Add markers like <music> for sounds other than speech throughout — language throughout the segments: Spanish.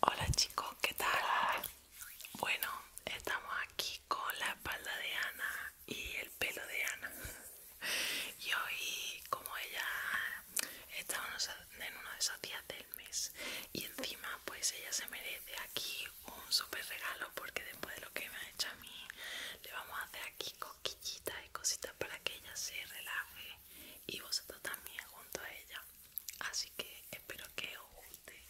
Hola chicos, ¿qué tal? Bueno, estamos aquí con la espalda de Ana y el pelo de Ana. <laughs> Y hoy, como ella está en uno de esos días del mes y encima pues ella se merece aquí un super regalo porque después de lo que me ha hecho a mí le vamos a hacer aquí cosquillitas y cositas para que ella se relaje y vosotros también junto a ella así que espero que os guste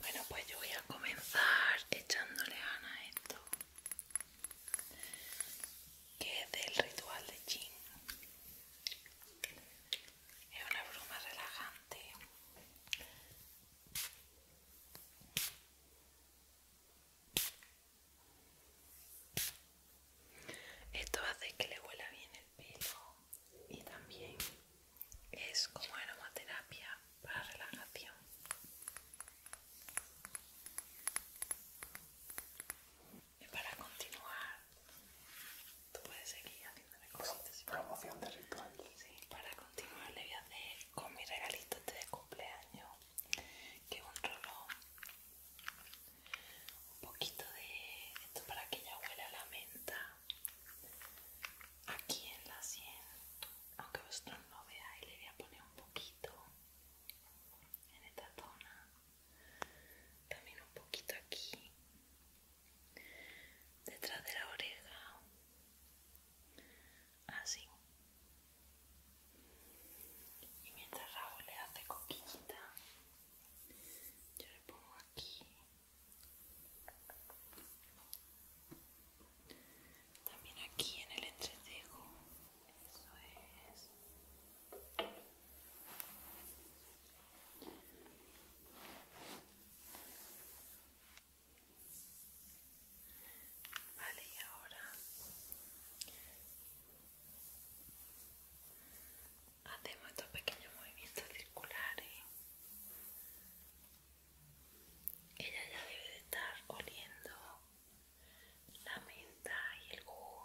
bueno pues yo voy a comenzar echándole gana a esto que es del ritual de Jin es una bruma relajante esto hace que le huela bien el pelo y también es como aromaterapia para relajación y para continuar, tú puedes seguir haciendo cositas. promoción de ritual. Sí, para continuar le voy a hacer con mi regalito este de cumpleaños, que un rollo un poquito de esto para que ya huela la menta aquí en la sien, aunque vosotros no veáis, le voy a poner un poquito en esta zona también un poquito aquí detrás de la oreja así y mientras Raúl le hace coquillita yo le pongo aquí también aquí en el entretejo eso es Vale, y ahora hacemos estos pequeños movimientos circulares. Ella ya debe de estar oliendo la menta y el jugo.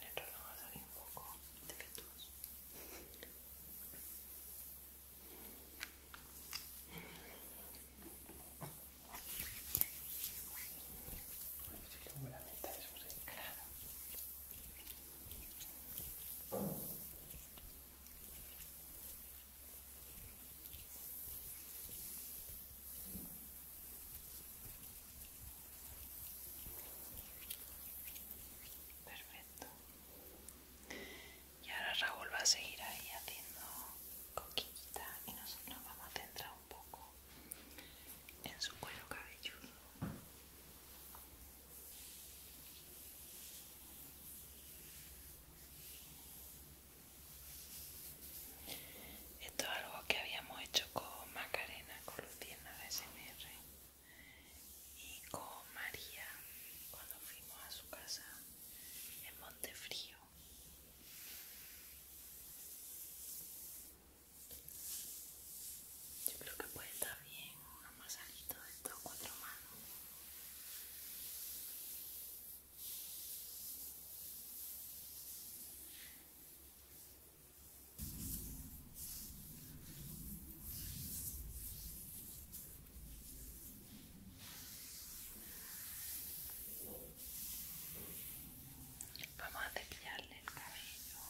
El reloj ha salido un poco defectuoso y Perfecto. Y ahora Raúl va a seguir ahí haciendo coquillita y nosotros nos vamos a centrar un poco en su cuero cabelludo. Esto es algo que habíamos hecho con Macarena, con Luciana de SMR y con María cuando fuimos a su casa en Montefrío. Yo creo que puede estar bien más masajito de todo cuatro manos. Vamos a cepillarle el cabello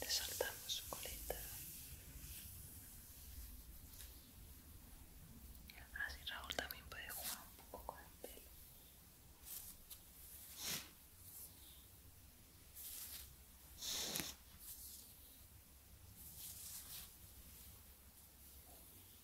resaltamos su coleta así ah, Raúl también puede jugar un poco con el pelo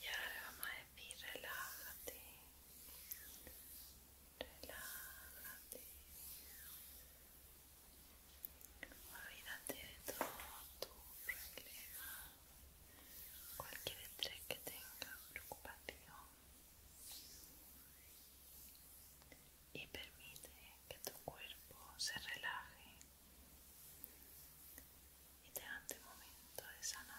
Y ahora le vamos a decir relájate, relájate, olvídate de todo tu problema, cualquier estrés que tenga, preocupación, y permite que tu cuerpo se relaje y te momento de sanación.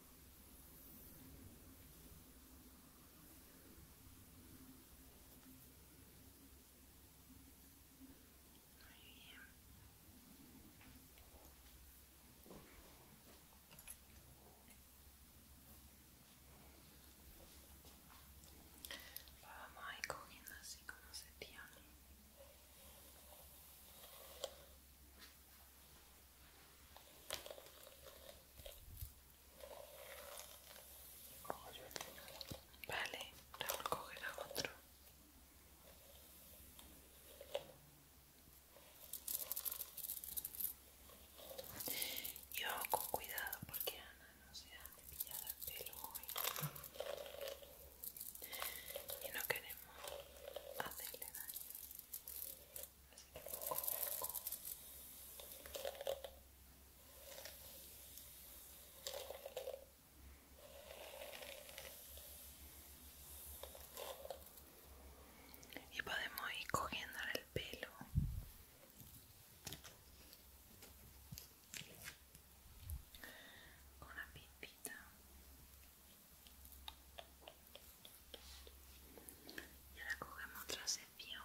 Muy bien. vamos a ir cogiendo así como se tiene. Vale, Raúl coger a otro. yo con cuidado porque Ana no se ha cepillado el pelo Y no queremos hacerle daño y podemos ir cogiendo el pelo con una pipita y ahora cogemos otra sección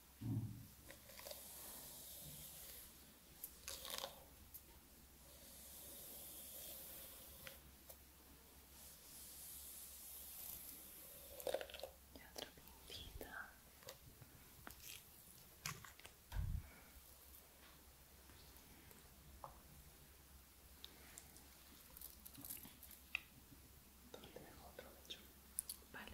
Y otra puntita. tengo otro hecho. Vale.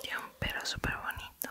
Tiene un pelo súper bonito.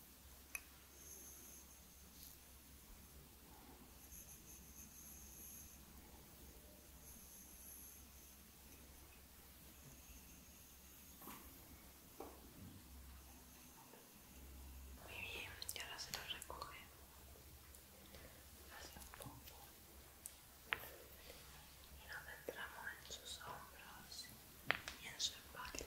Muy bien, y ahora se lo recoge. hace un poco. Y nos entramos en sus hombros y en su espalda.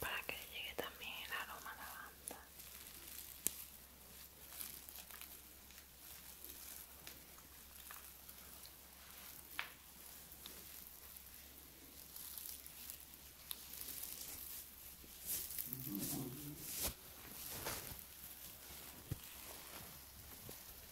para que llegue también el aroma a banda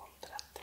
contraste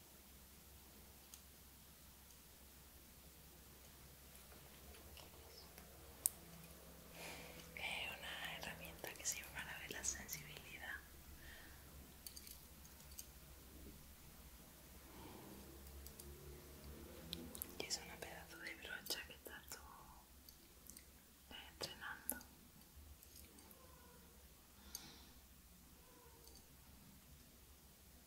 Es eh, una herramienta que sirve para ver la sensibilidad. Y es un pedazo de brocha que está eh, entrenando. estrenando.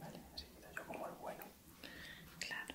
Vale, así quedo yo como el bueno. Claro.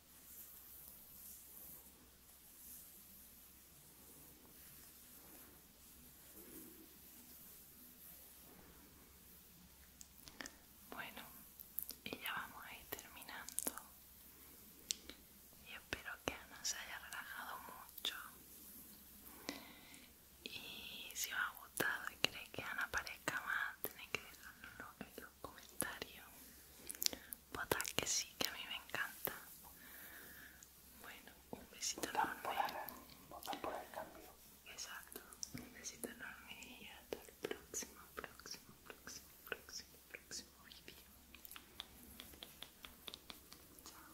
Bueno, y ya vamos a ir terminando. Y espero que Ana se haya relajado mucho. Y si os ha gustado y queréis que Ana aparezca más, tenéis que dejarlo comentario votar que sí, que a mí me encanta Bueno, un besito enorme por por el cambio Exacto, un besito enorme y hasta el próximo, próximo, próximo, próximo, próximo vídeo Chao